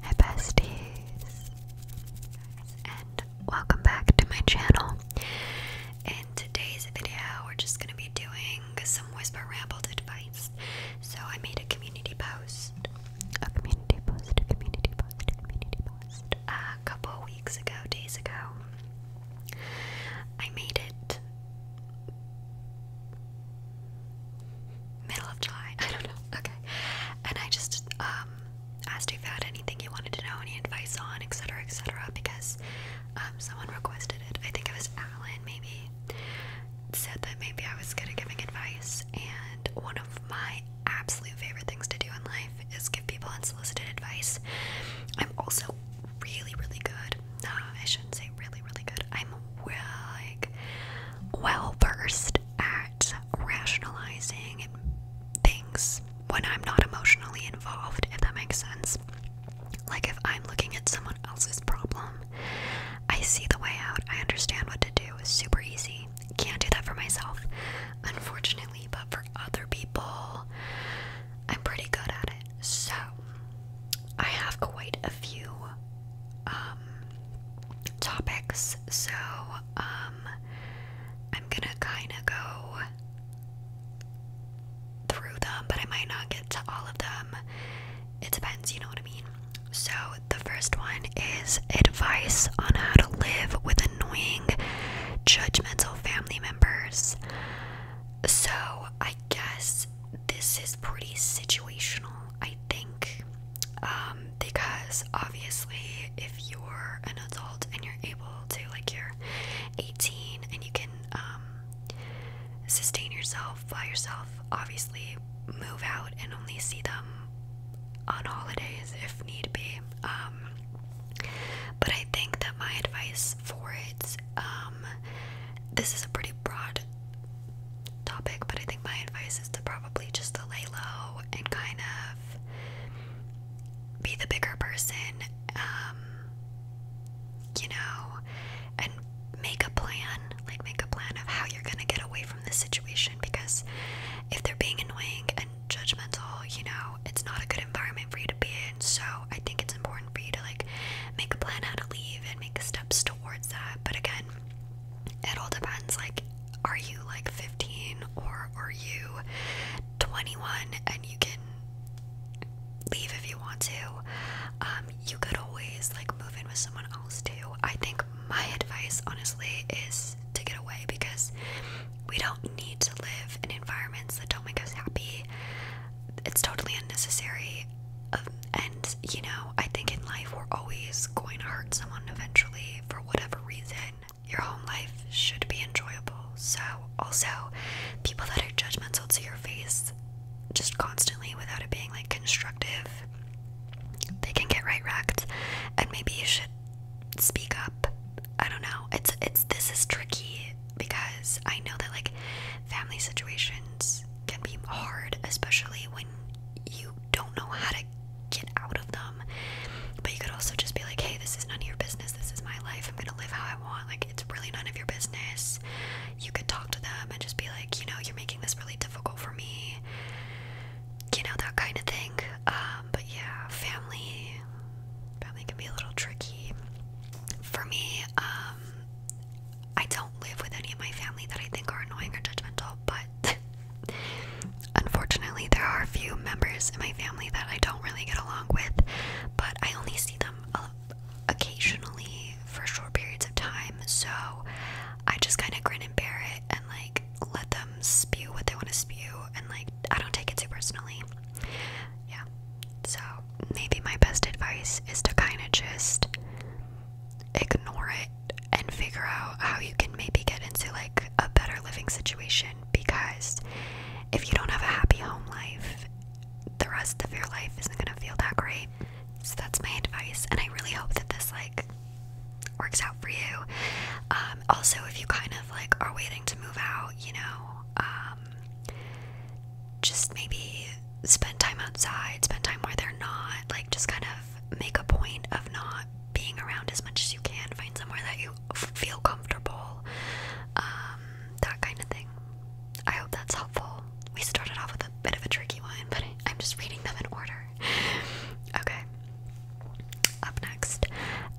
Hi besties, and welcome back to my channel. In today's video, we're just gonna be doing some whisper rambled advice. So I made a community post, a community post, a community post, a community post a couple weeks ago, days ago. I made it middle of July. I don't know. Okay. And I just um, asked if you had anything you wanted to know, any advice on, etc., etc., because um, someone requested it. I think it was Alan, maybe, said that maybe I was good at giving advice. And one of my absolute favorite things to do in life is give people unsolicited advice. I'm also really, really good. No, I shouldn't say really, really good. I'm like well versed at rationalizing things when I'm not emotionally involved, if that makes sense. Like if I'm looking at someone else's problem, I see the way out. I understand what to do. It's super easy. Can't do that for myself, unfortunately, but for other people, I'm pretty good at it. So, I have quite a few um, topics, so um, I'm gonna kind of go through them, but I might not get to all of them. It depends, you know what I mean? So, the first one is advice on how to live with annoying, judgmental family members. So, I guess this is pretty situational. I think um, because obviously if you're an adult and you're able to like you're 18 and you can um, sustain yourself by yourself obviously move out and only see them on holidays if need be um, but I think that my advice for it um, this is a pretty broad topic, but I think my advice is to probably just to lay low and kind of be the bigger person, um, you know, and make a plan. Like, make a plan of how you're gonna get away from this situation because if they're being annoying and judgmental, you know, it's not a good environment for you to be in. So, I think it's important for you to like make a plan how to leave and make steps towards that. But again, it all depends like are you like 15 or are you 21 and you can leave if you want to um you could always like move in with someone else too i think my advice honestly is to get away because we don't need to live in environments that don't make us happy it's totally unnecessary um, and you know, I think in life we're always going to hurt someone eventually for whatever reason. Your home life should be enjoyable. So, also, people that are judgmental to your face just constantly without it being like constructive, they can get right wrecked. And maybe you should speak up. I don't know. It's, it's, this is tricky because I know that like family situations things can be hard, especially when you don't know how to get out of them. But you could also just be like, hey, this is none of your business. This is my life. I'm going to live how I want. Like, it's really none of your business. You could talk to them and just be like, you know, you're making this really difficult for me. You know, that kind of thing. Um, but yeah, family, family can be a little tricky. For me, um, I don't live with any of my family that I think are annoying or judgmental, but unfortunately, there are a few members in my family that I don't really get along with, but I only see them uh, occasionally for short periods of time, so I just kind of grin and bear it and like let them spew what they want to spew, and like I don't take it too personally. Yeah, so maybe my best advice is to kind of just ignore it and figure out how you can maybe get into like a better living situation because if you don't have a happy home life, the rest of your life isn't going to feel that great. So that's my advice and I really hope that this like works out for you. Um, also if you kind of like are waiting to move out, you know, um, just maybe spend time outside, spend time where they're not, like just kind of make a point of not being around as much as you can, find somewhere that you feel comfortable, um, that kind of thing. I hope that's helpful. We started off with a bit of a tricky one, but I'm just reading them in order. Okay. Up next,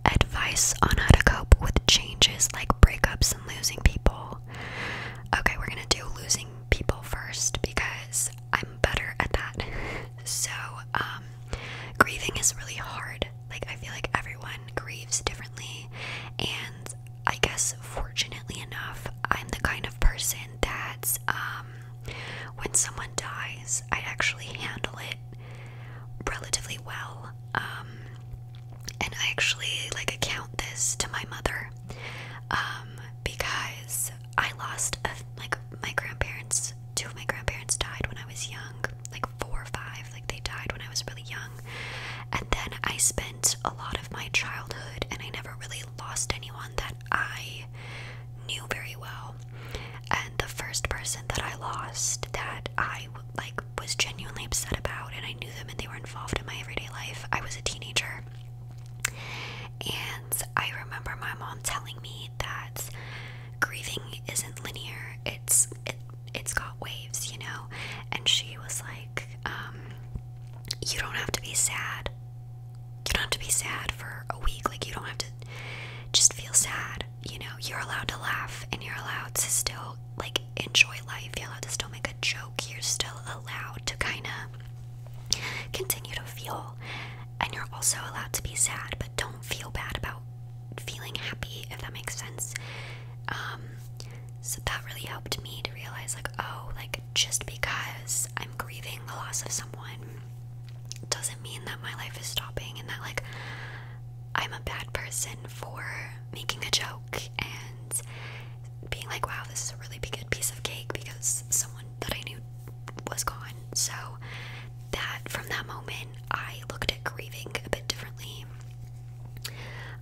advice on how to cope with changes like breakups and losing people. Okay, we're gonna do losing people first because I'm better at that. so, um, grieving is really hard. Like, I feel like everyone grieves differently. And I guess, fortunately enough, I'm the kind of person that, um, when someone dies, I actually handle it relatively well. Um, and I actually like account this to my mother because I lost like my grandparents. Two of my grandparents died when I was young, like four or five. Like they died when I was really young, and then I spent a lot of my childhood, and I never really lost anyone that I knew very well. And the first person that I lost that I like was genuinely upset about, and I knew them, and they were involved in my everyday life. I was a teenager. And I remember my mom telling me that grieving isn't linear. It's it it's got waves, you know. And she was like, um, you don't have to be sad. You don't have to be sad for a week. Like you don't have to just feel sad. You know, you're allowed to laugh and you're allowed to still like enjoy life. You're allowed to still make a joke you're still allowed to kind of continue to feel. And you're also allowed to be sad, but don't feel bad about feeling happy, if that makes sense. Um, so that really helped me to realize, like, oh, like just because I'm grieving the loss of someone doesn't mean that my life is stopping and that, like, I'm a bad person for making a joke and being like, wow, this is a really big, good piece of cake because someone that I knew was gone. So that from that moment, I looked at grieving a bit differently.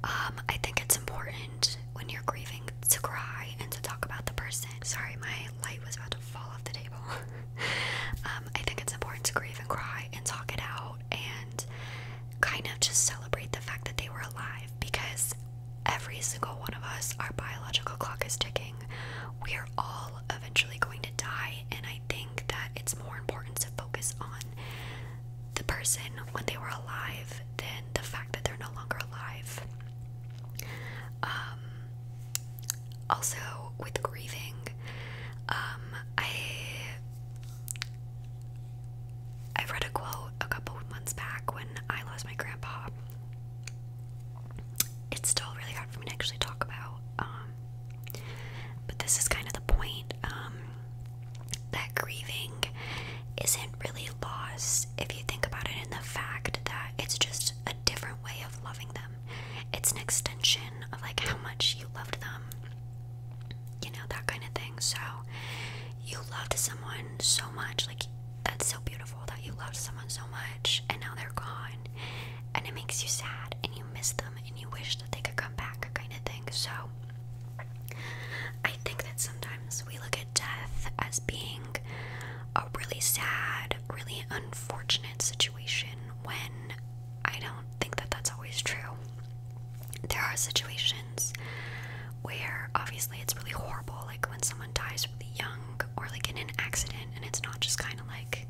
Um, I think it's important when you're grieving to cry and to talk about the person. Sorry, my light was about to fall off the table. um, I think it's important to grieve and cry and talk it out and kind of just celebrate the fact that they were alive because every single one of us, our biological clock is ticking. We are all eventually going to die, and I think that it's more important to focus on the person when they were alive than the fact that they're no longer alive. Um, also, with grieving, um, I I read a quote a couple months back when I lost my grandpa. It's still really hard for me to actually talk about, um, but this is kind of the point um, that grieving isn't really loss if you think about it in the fact that it's just a different way of loving them. It's an extension of like how much you loved them, you know, that kind of thing. So you loved someone so much like that's so beautiful that you loved someone so much and now they're gone and it makes you sad and you miss them and you wish that they could come back kind of thing so i think that sometimes we look at death as being a really sad really unfortunate situation when i don't think that that's always true there are situations where obviously it's really horrible, like when someone dies really young or like in an accident, and it's not just kind of like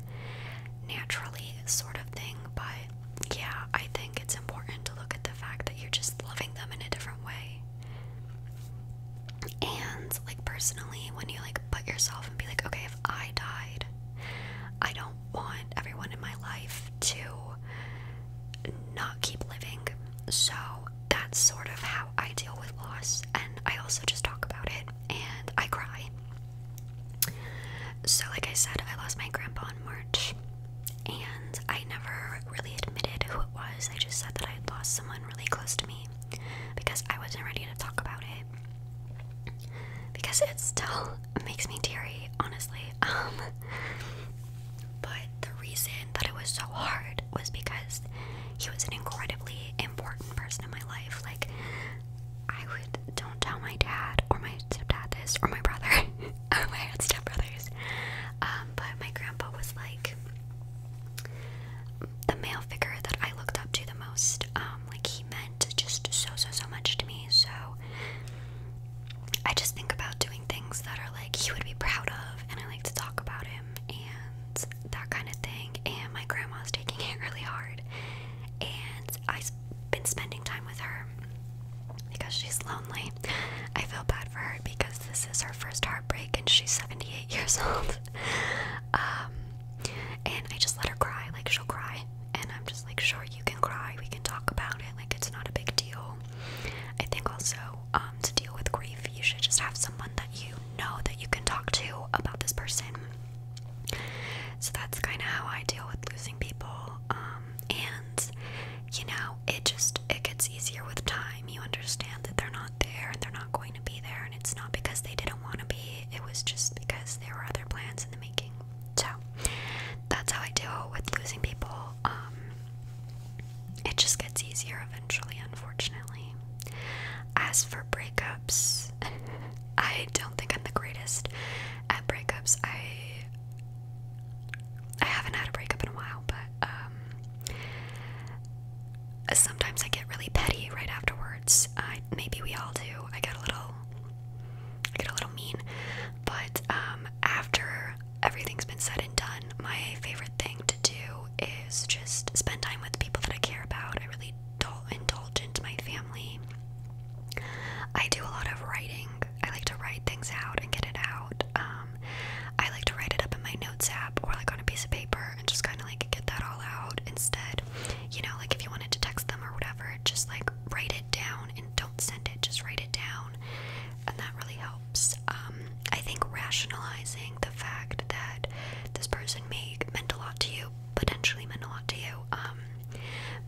naturally sort of thing. But yeah, I think it's important to look at the fact that you're just loving them in a different way. And like personally, when you like put yourself and be like, okay, if I died, I don't want everyone in my life to not keep living. So that's sort of how I deal with loss, and I also just talk about it and I cry. So, like I said, I lost my grandpa in March, and I never really admitted who it was. I just said that I had lost someone really close to me because I wasn't ready to talk about it. Because it still makes me teary, honestly. Um, but the reason that it was so hard was because he was an incredibly important person in my life. Like, I would, don't tell my dad or my stepdad this, or my brother, or my stepbrothers. Um, but my grandpa was like the male figure that I looked up to the most. Um, like, he meant just so, so, so much to me. So, I just think about doing things that are like he would be proud of, and I like to talk about him and that kind of thing. And my grandma's taking it really hard, and I've been spending time with her because she's lonely. I feel bad for her because this is her first heartbreak, and she's 78 years old. um, and I just let her cry, like she'll cry, and I'm just like, sure, you can cry, we can talk about it. Like, like it's not a big deal. I think also um, to deal with grief, you should just have someone that you know that you can talk to about this person. So that's kind of how I deal with losing people. Um, and you know, it just it gets easier with time. You understand that they're not there and they're not going to be there, and it's not because they didn't want to be. It was just because there were other plans in the making. So that's how I deal with losing people. Um, it just gets easier eventually, unfortunately. As for breakups, I don't think I'm the greatest at breakups. I I haven't had a breakup in a while, but um, sometimes I get really petty right afterwards. maybe we all do. I get a little get a little mean, but um, after everything's been said and done, my favorite thing to do is just spend time with people that I care about. I really don't indulge into my family. I do a lot of writing. I like to write things out and get it out. Um, I like to write it up in my notes app or like on a piece of paper and just kind of like get that all out instead. You know, like if you wanted to text them or whatever, just like write it down and don't send it, just write it down and that really helps. Um, I think rationalizing the fact that this person may meant a lot to you, potentially meant a lot to you, um,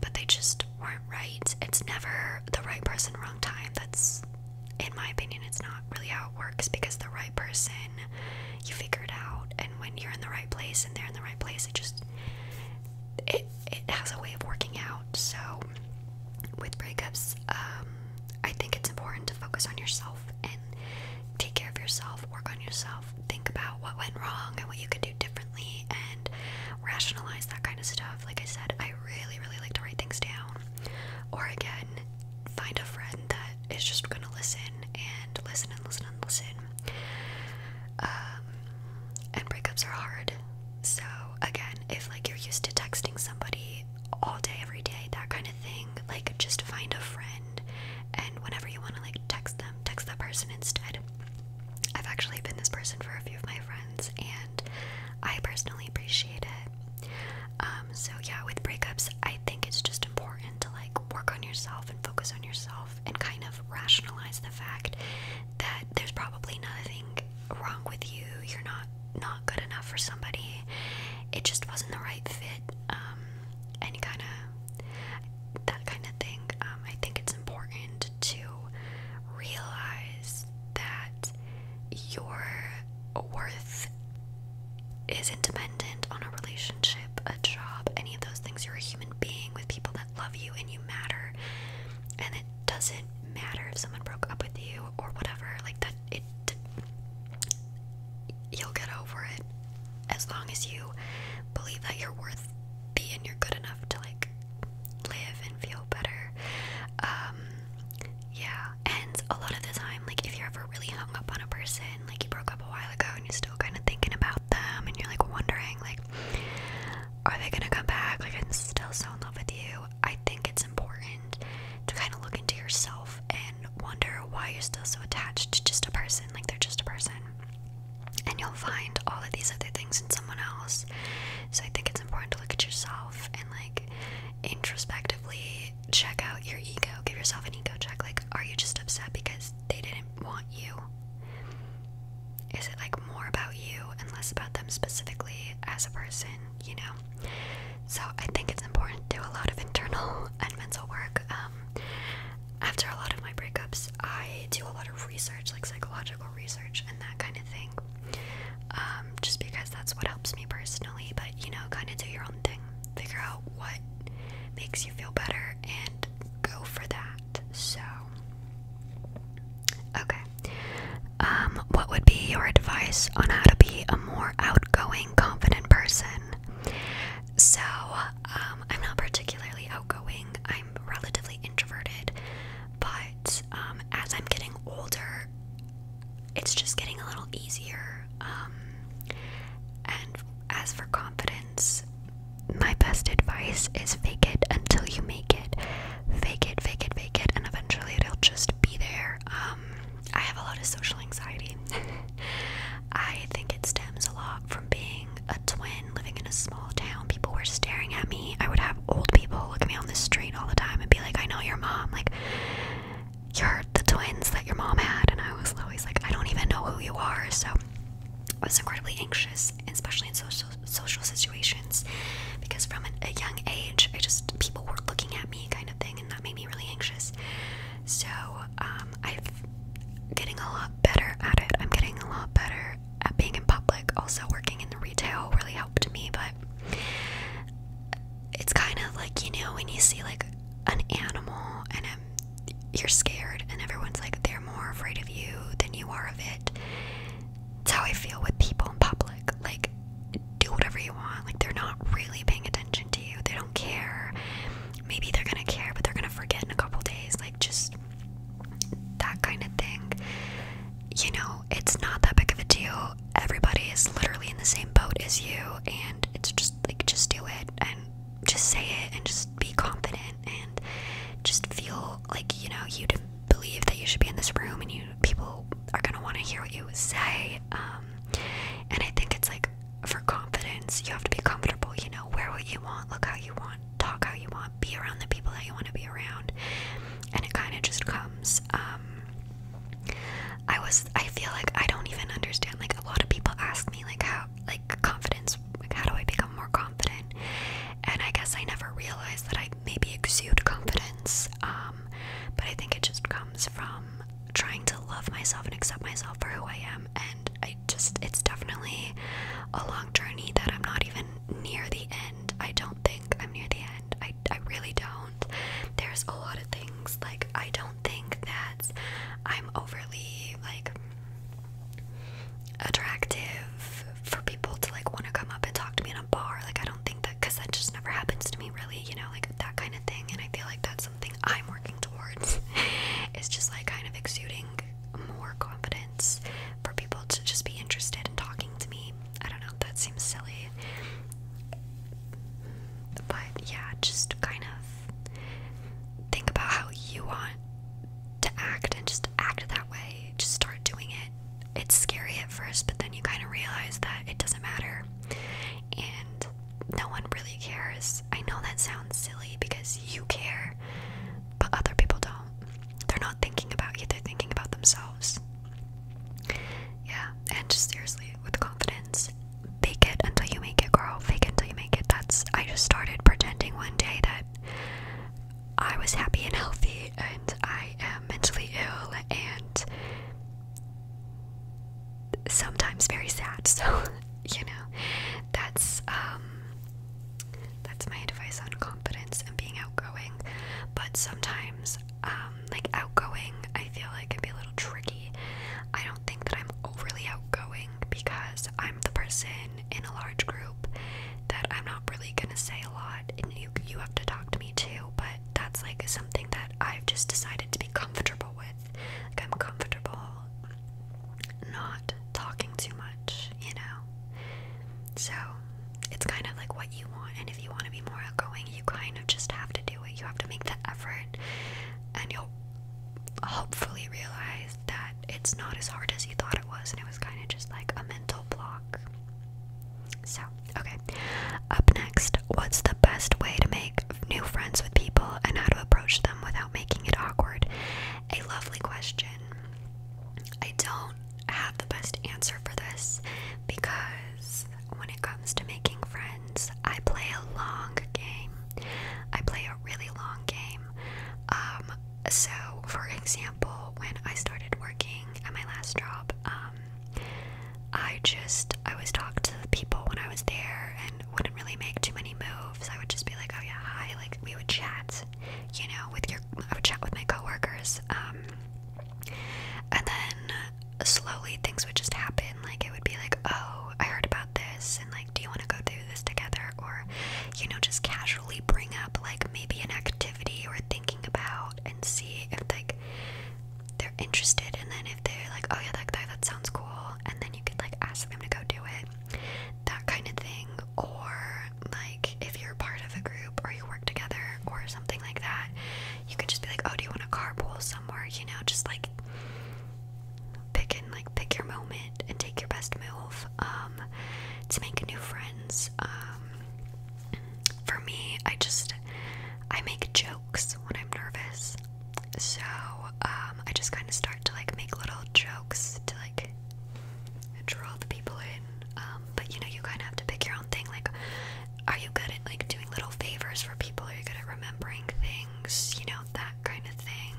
but they just weren't right. It's never the right person, wrong time. That's, in my opinion, it's not really how it works because the right person, you figure it out, and when you're in the right place and they're in the right place, it just it it has a way of working out. So, with breakups, um, I think it's important to focus on yourself and take care of yourself, work on yourself, think about what went wrong and what you could do differently, and rationalize that kind of stuff. Like I said, I really, really like to write things down. Or again, find a friend that is just gonna listen and listen and listen and listen. Um, and breakups are hard. So, again, if like you're used to texting somebody all day, every day, that kind of thing, like just find a friend and whenever you want to like text them, text that person instead. I've actually been this person for a few of my friends and I personally appreciate it. Um, so, yeah, with breakups, I think it's just important to like work on yourself and focus on yourself and kind of rationalize the fact that there's probably nothing wrong with you. You're not not good enough for somebody. It just wasn't the right fit. Um, any kind of that kind of thing. Um, I think it's important to realize that your worth is independent on a relationship, a job, any of those things. You're a human being with people that love you and you matter. And it doesn't matter if someone broke up with you or whatever. Like that, it you'll get over it as long as you believe that you're worth being. You're good enough to like live and feel better. Um, yeah, and a lot of the time, like if you're ever really hung up on a person, like you broke up a while ago and you're still kind of thinking about them and you're like wondering, like, are they gonna come back? Like, I'm still so in love with you. I think it's important to kind of look into yourself and wonder why you're still so attached to just a person. Like, they're just a person. And you'll find all of these other things in someone else. So, I think it's important to look at yourself and, like, introspectively check out your ego. Give yourself an ego check. Like, are you just upset because they didn't want you? Is it like more about you and less about them specifically as a person? you know. So I think it's important to do a lot of internal and mental work. Um, after a lot of my breakups, I do a lot of research, like psychological research and that kind of thing. Um, just because that's what helps me personally, but you know, kind of do your own thing. Figure out what makes you feel better and go for that. So, Okay. Um, what would be your advice on how to be a more outgoing, confident person? So, um, I'm not particularly outgoing. I'm relatively introverted, but um, as I'm getting older, it's just getting a little easier. and as for confidence, my best advice is fake it until you make it fake it, fake it, fake it, and eventually it'll just be there. Um, I have a lot of social anxiety. I think it stems a lot from being a twin living in a small town. People were staring at me. I would have old people look at me on the street all the time and be like, I know your mom. Like, you're the twins that your mom had. And I was always like, I don't even know who you are. So I was incredibly anxious, especially in social social situations because from a young age I just people were looking at me kind of thing and that made me really anxious. So um, I'm getting a lot better at it. I'm getting a lot better at being in public. Also working in the retail really helped me, but it's kind of like you know when you see like an animal and um, you're scared and everyone's like they're more afraid of you than you are of it it's how I feel with people in public. Like, do whatever you want. Like, they're not really paying attention to you. They don't care. Maybe they're gonna care, but they're gonna forget in a couple days. Like, just that kind of thing. You know, it's not that big of a deal. Everybody is literally in the same boat as you, and it's just like, just do it and just say it and just be confident and just feel like you know you did believe that you should be in this room and you people are gonna want to hear what you say. Um, and I think it's like for confidence, you have to be comfortable. You know, wear what you want, look how you want, talk how you want, be around the people that you want to be around, and it kind of just comes. Um, I was, I feel like I don't even understand. Like a lot of people ask me, like how, like confidence, like how do I become more confident? and I guess I never realized that I maybe exude confidence. Um, but I think it just comes from trying to love myself and accept myself for who I am, and I just it's definitely a long journey that I'm not even near the end. I don't think I'm near the end. I I really don't. There's a lot of things like I don't think that I'm overly like attractive for people to like want to come up and talk to me in a bar. Like, I don't think that because that just never happens to me, really, you know, like that kind of thing. And I feel like that's something I'm working towards. it's just like kind of exuding more confidence for people to just be interested in talking to me. I don't know, that seems silly. But yeah, just kind of think about how you want to act and just act that way, just start doing it. It's scary at first, but then you kind of realize that it doesn't matter and no one really cares. I know that sounds silly because you care, but other people don't. They're not thinking about you, they're thinking about themselves. Yeah, and just seriously, with confidence, fake it until you make it, girl. Fake until you make it. That's, I just started pretending one day that I was happy and healthy, and I am mentally ill and sometimes very sad. So, you know, that's um, that's my advice on confidence and being outgoing. But sometimes, um, like outgoing, I feel like can be a little tricky. I don't think that I'm overly outgoing because I'm the person in a large group that I'm not really gonna say a lot you you have to talk to me too, but that's like something that I've just decided to be comfortable with. Like I'm comfortable not talking too much, you know. So it's kind of like what you want, and if you want to be more outgoing, you kind of just have to do it. You have to make the effort, and you'll hopefully realize that it's not as hard as you thought it was, and it was kind of just like a mental block. So, okay. Up next, what's the best way to make new friends with people and how to approach them without making it awkward? A lovely question. I don't have the best answer for this because when it comes to making friends, I play a long game. I play a really long game. Um, so, for example, when I started working at my last job, um, I just I always talked to the people when I was there and wouldn't really make too many moves. I would just be like, "Oh yeah, hi," like we would chat, you know, with your I would chat with my coworkers, um, and then slowly things would just happen. Like it would be like, "Oh, I heard about this," and like, "Do you want to go through this together?" Or, you know, just casually bring up like maybe an activity or thing thinking about and see if like they're interested and then if they're like oh yeah like that, that sounds cool and then you could like ask them to go do it that kind of thing or like if you're part of a group or you work together or something like that you can just be like oh do you want to carpool somewhere you know just like pick and like pick your moment and take your best move um, to make new friends um, for me, I just I make jokes when I'm nervous. So, um, I just kind of start to like make little jokes to like draw the people in. Um, but you know, you kind of have to pick your own thing. Like, are you good at like doing little favors for people? Are you good at remembering things? You know, that kind of thing.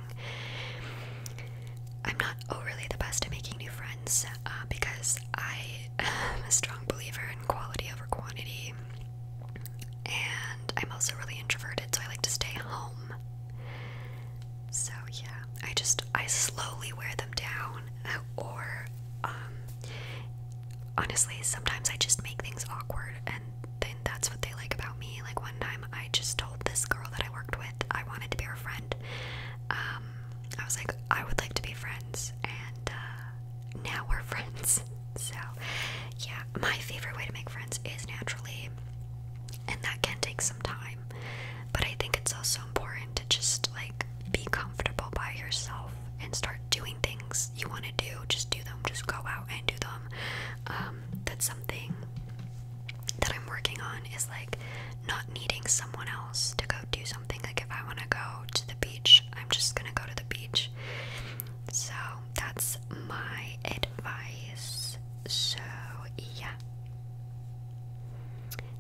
I'm not overly the best at making new friends, so uh, because I am a strong believer in quality over quantity, and I'm also really introverted, so I like to stay home. So yeah, I just I slowly wear them down, or um, honestly, sometimes I just make things awkward, and then that's what they like about me. Like one time, I just told this girl that I worked with I wanted to be her friend. Um, I was like, I would like to be friends, and uh, now we're friends. So, yeah, my favorite way to make friends is naturally, and that can take some time. But I think it's also important to just like be comfortable by yourself and start doing things you want to do. Just do them, just go out and do them. Um, that's something that I'm working on is like not needing someone else to go do something. Like if I want to go to the beach, I'm just going to go to the beach. So that's my advice. So, yeah.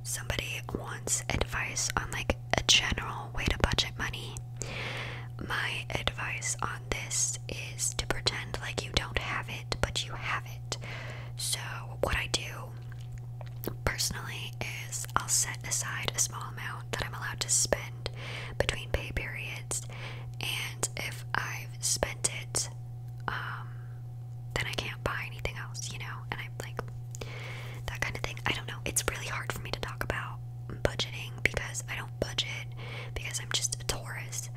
Somebody wants advice on like a general way to budget money. My advice on this is to pretend like you don't have it, but you have it. So, what I do personally is I'll set aside a small amount that I'm allowed to spend between pay periods, and if I've spent it, um, then I can't buy anything else, you know? And I'm like, that kind of thing. I don't know. It's really hard for me to talk about budgeting because I don't budget because I'm just a Taurus.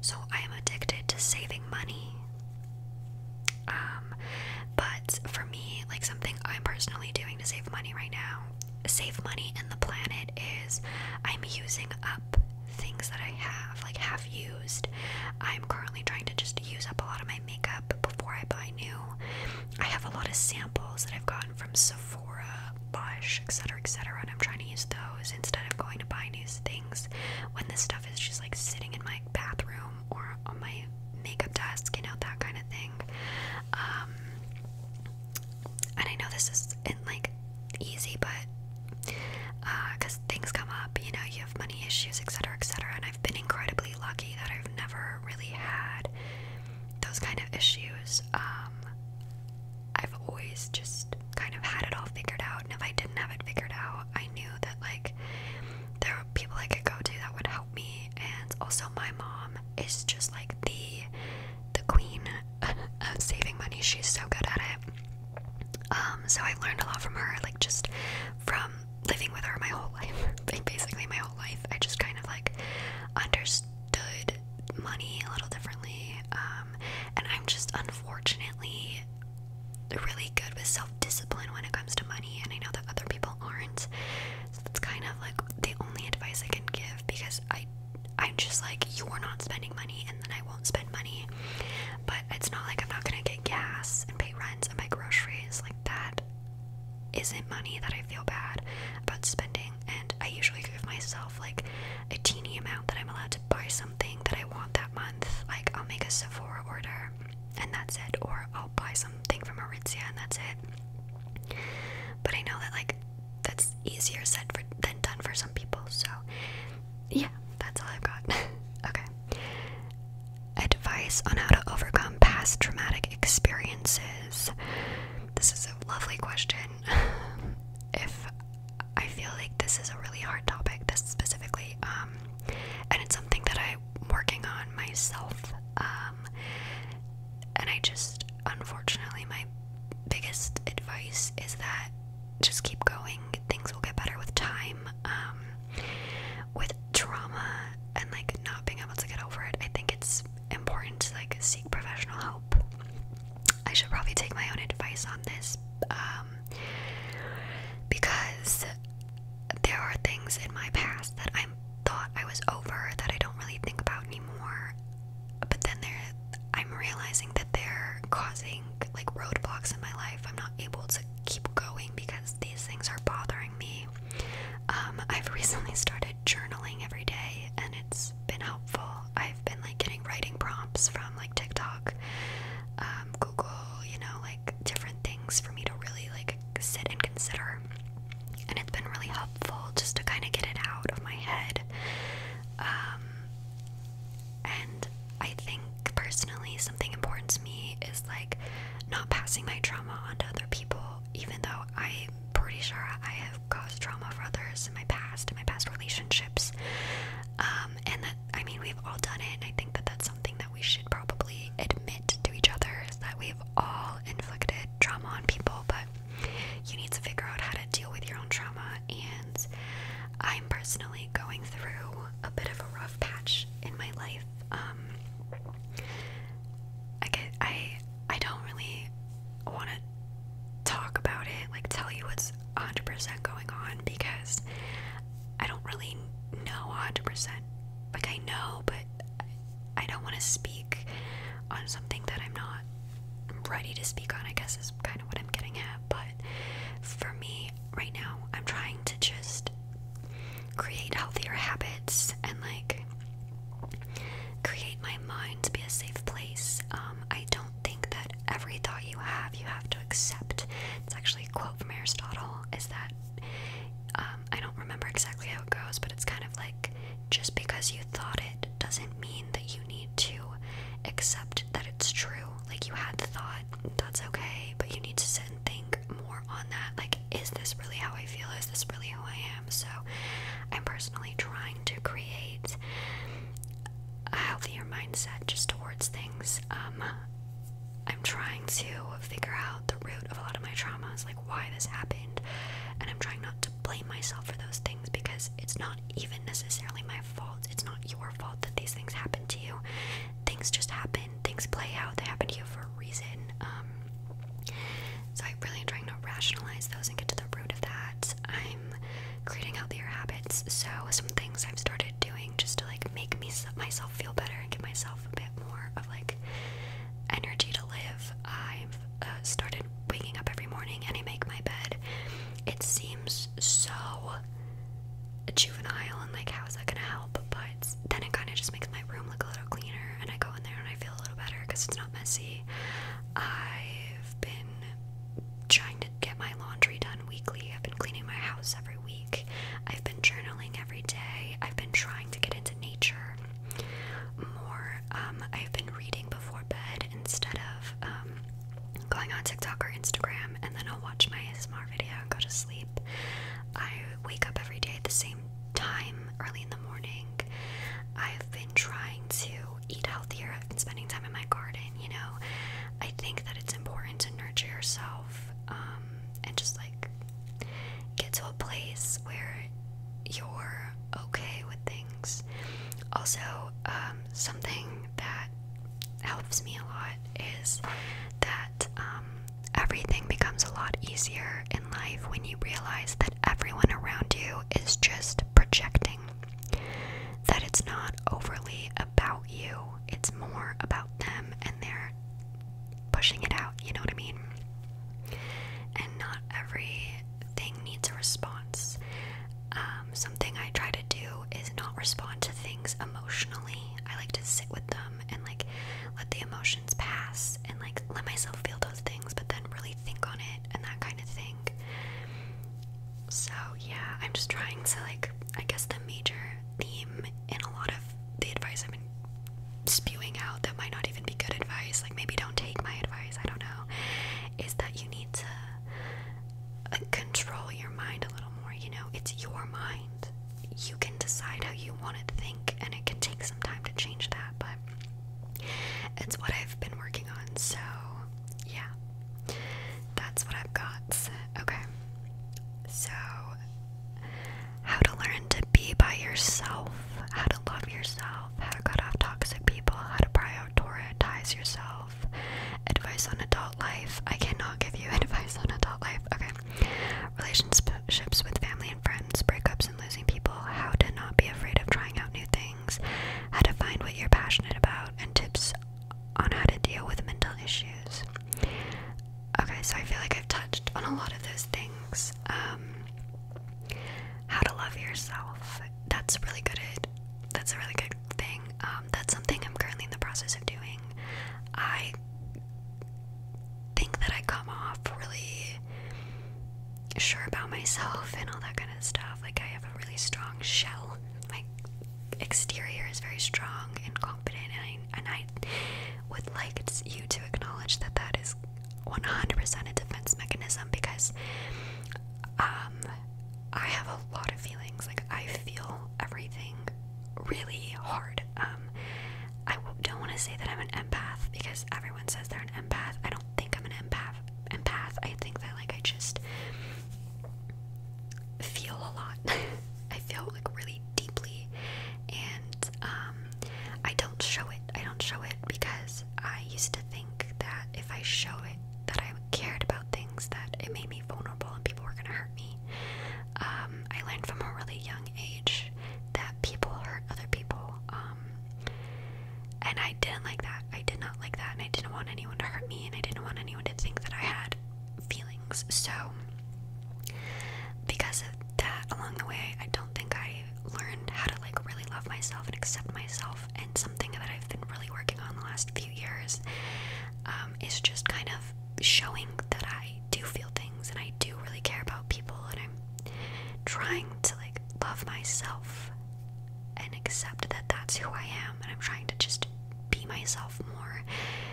So I am addicted to saving money um, but for me, like something I'm personally doing to save money right now, save money and the planet is I'm using up things that I have, like have used. I'm currently trying to just use up a lot of my makeup before I buy new. I have a lot of samples that I've gotten from Sephora, Lush, etc., etc., and I'm trying to use those instead of going to buy new things when this stuff is just like sitting in my bathroom room or on my makeup desk, you know, that kind of thing. Um, and I know this isn't like easy, but because uh, things come up, you know, you have money issues, etc., etc. And I've been incredibly lucky that I've never really had those kind of issues. Um, I've always just kind of had it all figured out if I didn't have it figured out, I knew that like there were people I could go to that would help me. And also, my mom is just like the the queen of saving money. She's so good at it. Um, so i learned a lot from her, like just from living with her my whole life. basically my whole life. I just kind of like understood money a little differently. Um, and I'm just unfortunately really good with self-discipline when it comes to money and I know that other people aren't. So that's kind of like the only advice I can give because I I'm just like you're not spending money and then I won't spend money. But it's not like I'm not gonna get gas and pay rent and buy groceries. Like that isn't money that I feel bad about spending and I usually give myself like a teeny amount that I'm allowed to buy something that I want that month. Like I'll make a Sephora order and that's it, or I'll buy something from Aritzia and that's it. But I know that like that's easier said than done for some people, so yeah, that's all I've got. okay. Advice on how to overcome past traumatic experiences. This is a lovely question. if I feel like this is a really hard topic, this specifically, um, and it's something that I'm working on myself. Um, and I just, unfortunately, my biggest advice is that just keep going. Things will get better with time. Um, with trauma and like not being able to get over it, I think it's important to like seek professional help. I should probably take my own advice on this. Um, because there are things in my past that I thought I was over that I don't really think about anymore. But then I'm realizing that they're causing like roadblocks in my life. I'm not able to keep going because these things are bothering me. Um, I've recently started journaling every day, and it's been helpful. I've been like getting writing prompts from like TikTok um, Google, you know, like different things for me to really like sit and consider. And it's been really helpful just to kind of get it out of my head. Um, and I think personally, something important to me is like not passing my trauma on to other people, even though I'm pretty sure I have caused trauma for others in my past, in my past relationships. Um, and that, I mean, we've all done it, and I think that that's something that we should probably admit to each other is that we've all inflicted trauma on people, but you need to figure out how to deal with your own trauma. And I'm personally going through a bit of a rough patch in my life. Um, I get, I I don't really want to talk about it, like tell you what's was 100% going on because I don't really know 100%. Like, I know, but I don't want to speak on something that I'm not ready to speak on, I guess is kind of what I'm getting at. But for me, right now, I'm trying to just create healthier habits and like create my mind to be a safe place. Um, I don't think that every thought you have, you have to accept. It's actually a quote from Aristotle is that um, I don't remember exactly how it goes, but it's kind of like just because you thought it doesn't mean that you need to accept that it's true. Like you had the thought, that's okay, but you need to think more on that. Like, is this really how I feel? Is this really who I am? So, I'm personally trying to create a healthier mindset just towards things. Um, I'm trying to figure out the root of a lot of my traumas, like why this happened, and I'm trying not to blame myself for those things because it's not even necessarily my fault. It's not your fault that these things happen to you. Things just happen, things play out, they happen to you for a reason. Um, so I'm really trying to rationalize those and get to the root of that. I'm creating healthier habits, so some things I've started doing just to like make me myself feel better and give myself a bit more of like energy to live. I've uh, started waking up every morning and I make my bed. It seems so juvenile and like how's that gonna help? But then it kind of just makes my room look a little cleaner and I go in there and I feel a little better because it's not messy. I've been trying to get my laundry done weekly. I've been cleaning my house every week. I've been journaling every day. I've been trying to get into nature more. Um, I've been reading before bed instead of um, going on TikTok or Instagram, and then I'll watch my ASMR video and go to sleep. I wake up every day at the same time, early in the morning. I've been trying to eat healthier. I've been spending time in my garden you know. I think that it's important to nurture yourself um, and just like get to a place where you're okay with things. Also, um, something that helps me a lot is that um, everything becomes a lot easier in life when you realize that everyone around you is just projecting, that it's not overly about you it's more about them and they're pushing it out, you know what I mean? And not everything needs a response. Um, something I try to do is not respond to things emotionally. I like to sit with them and like let the emotions pass and like let myself feel those things, but then really think on it and that kind of thing. So yeah, I'm just trying to like I guess the major theme in a lot of the advice I've been spewing out that might not even be good advice, like maybe don't take my advice, I don't know, is that you need to uh, control your mind a little more, you know, it's your mind. You can decide how you want to think and it can take some time to change that, but it's what I've been working on. So, yeah that's what I've got. Okay. So, how to learn to be by yourself, how to love yourself, how to cut off toxic people, how to prioritize yourself, advice on adult life. I cannot give you advice on adult life. Okay. Relationships with family and friends, breakups and losing people, how to not be afraid of trying out new things, how to find what you're passionate about, and tips on how to deal with mental issues. Okay, so I feel like I've touched on a lot of those things. Um, how to love yourself. That's really good. That's a really good thing. Um, that's something I'm currently in the process of doing. I think that I come off really sure about myself and all that kind of stuff. Like I have a really strong shell my exterior is very strong and confident, and I, and I would like you to acknowledge that that is 100% a defense mechanism because um, I have a lot of feelings. Like I feel everything really hard. Um, I don't want to say that I'm an empath because everyone says they're an empath. I don't think I'm an empath. Empath. I think that like I just feel a lot. I feel like really deeply, and um, I don't show it. I don't show it because I used to think that if I show it, that I cared about things, that it made me vulnerable and people were gonna hurt me. Um, I learned from a really young age that people hurt other people, um, and I didn't like that. I did not like that, and I didn't want anyone to hurt me, and I didn't want anyone to think that I had feelings. So, because of that, along the way, I don't think I learned how to like really love myself and accept myself. And something that I've been really working on the last few years um, is just kind of showing that I do feel things and I do really care about people, and I'm trying to like love myself and accept that that's who I am, and I'm trying to just be myself more.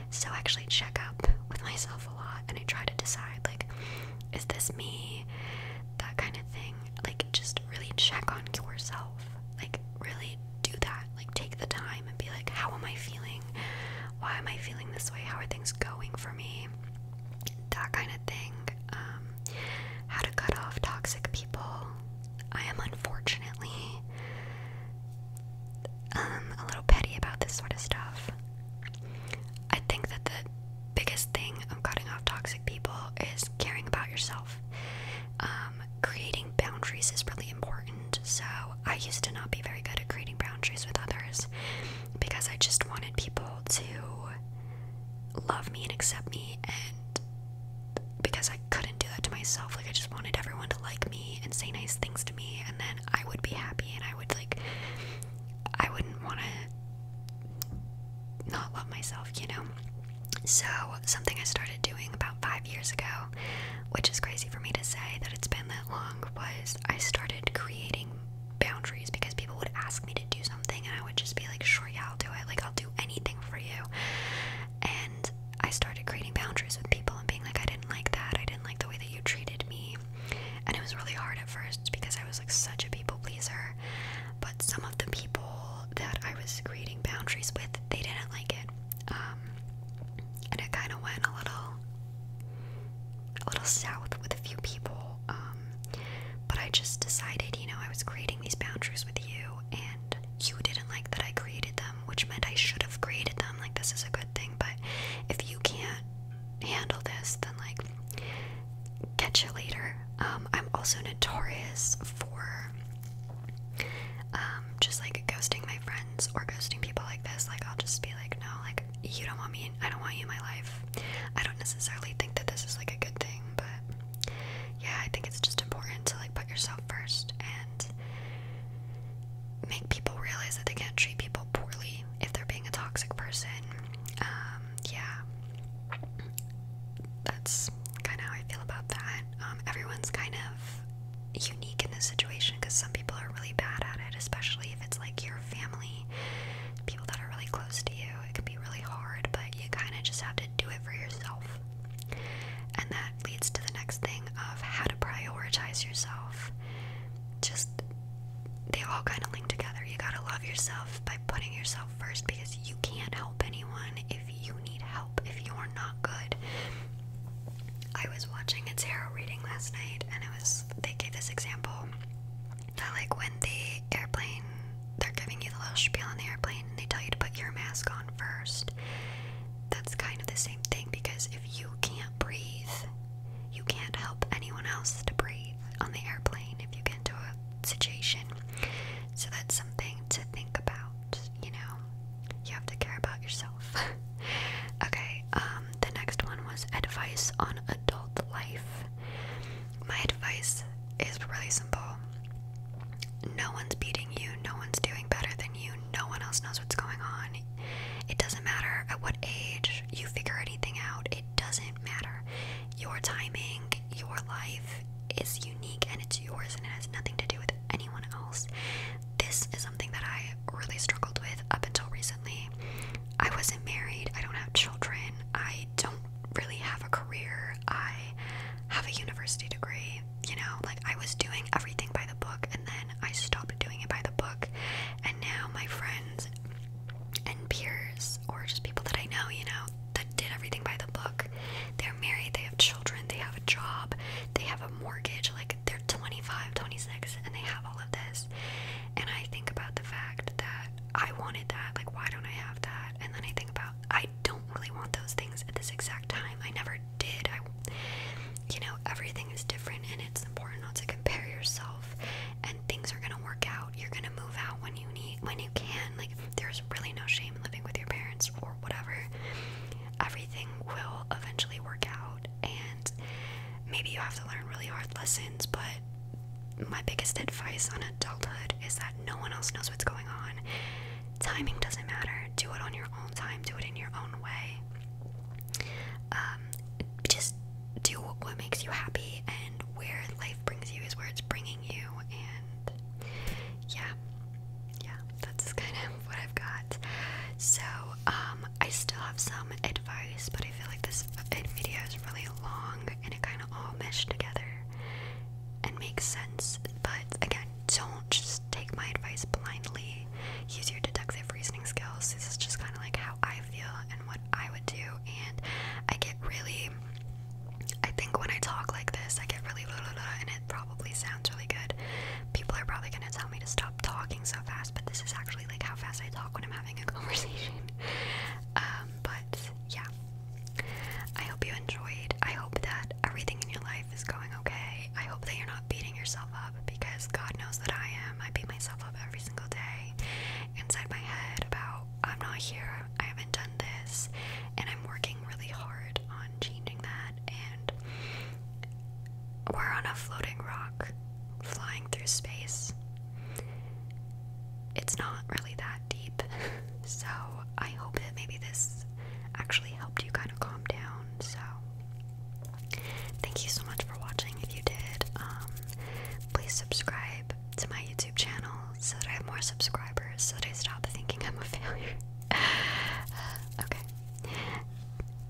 So actually check up with myself a lot and I try to decide like is this me? That kind of thing. Like just really check on yourself. Like really do that. Like take the time and be like how am I feeling? Why am I feeling this way? How are things going for me? That kind of thing. Um, how to cut off toxic people. I am unfortunately um, a little petty about this sort of stuff. I think that the biggest thing of cutting off toxic people is caring about yourself. Um, creating boundaries is really important. So I used to not be very good at creating boundaries with others because I just wanted people to love me and accept me and because I couldn't do that to myself. Like I just wanted everyone to like me and say nice things to me and then I would be happy and I would like I wouldn't want to not love myself, you know. So, something I started doing about 5 years ago, which is crazy for me to say that it's been that long, was I started creating boundaries because people would ask me to do something and I would just be like, "Sure, yeah, I'll do it. Like I'll do anything for you." And I started creating boundaries with people and being like, I didn't like that. I didn't like the way that you treated me. And it was really hard at first because I was like such a people pleaser. But some of the people that I was creating boundaries with, they didn't like it. Um, and it kind of went a little, a little south with a few people. Um, but I just decided, you know, I was creating these boundaries with you, and you didn't like that I created them which meant I should have graded them. Like, this is a good thing, but if you can't handle this, then like, catch you later. Um, I'm also notorious for um, just like ghosting my friends or ghosting people like this. Like, I'll just be like, no, like, you don't want me, I don't want you in my life. I don't necessarily think that this is like a good thing, but yeah, I think it's just important to like yourself first and make people realize that they can't treat people poorly if they're being a toxic person. Um, yeah, that's kind of how I feel about that. Um, everyone's kind of unique in this situation because some people are really bad at it, especially if it's like your family, people that are really close to you. It can be really hard, but you kind of just have to do it for yourself. And that leads to the next thing of how to prioritize yourself. Just they all kind of link together. You got to love yourself by putting yourself first because you can't help anyone if you need help, if you're not good. I was watching a tarot reading last night and it was they gave this example that like when the airplane they're giving you the little spiel on the airplane and they tell you to put your mask on first that's kind of the same thing because if you can't breathe, you can't help anyone else to breathe on the airplane if you get into a situation. So that's something to think about, you know. You have to care about yourself. okay, um, the next one was advice on adult life. My advice is really simple no one's beating you, no one's doing better than you, no one else knows what's going on. It doesn't matter at what age you figure anything out, it doesn't matter. Your timing, your life is unique and it's yours and it has nothing to do with anyone else. This is something that I really struggled with up until recently. I wasn't married, I don't have children, I don't really have a career, I have a university degree you know, like I was doing everything by the book and then I stopped doing it by the book. And now my friends and peers, or just people that I know, you know, that did everything by the book, they're married, they have children, they have a job, they have a mortgage, like they're 25, 26, and they have all of this. And I think about the fact that I wanted that, like, why don't I have that? And then I think about, I I don't really want those things at this exact time. I never did. I, you know, everything is different, and it's important not to compare yourself. And things are gonna work out. You're gonna move out when you need, when you can. Like there's really no shame in living with your parents or whatever. Everything will eventually work out, and maybe you have to learn really hard lessons, but. My biggest advice on adulthood is that no one else knows what's going on, Timing doesn't matter. Do it on your own time, do it in your own way. Um, just do what makes you happy, and where life brings you is where it's bringing you. And yeah, yeah, that's kind of what I've got. So, um, I still have some advice, but I feel like this video is really long and it kind of all meshed together and makes sense, but again, don't just take my advice blindly. Use your deductive reasoning skills. This is just kind of like how I feel and what I would do, and I get really. I think when I talk like this, I get really blah, blah, blah, and it probably sounds really good. People are probably gonna tell me to stop talking so fast, but this is actually like how fast I talk when I'm having a conversation. Um, but yeah, I hope you enjoyed. I hope that everything in your life is going okay. I hope that you're not beating yourself up because God knows that I am. I beat myself up every single day inside my head about I'm not here, I haven't done this, and I'm working really hard on changing that. And we're on a floating rock flying through space. It's not really that deep. so I hope that maybe this actually helped you kind of calm down. So, thank you so much for watching. If you did, um, please subscribe to my YouTube channel so that I have more subscribers, so that I stop thinking I'm a failure. okay.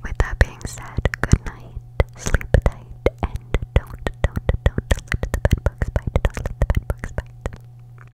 With that being said, good night, sleep tight, and don't, don't, don't let the bedbugs bite. Don't let the bedbugs bite.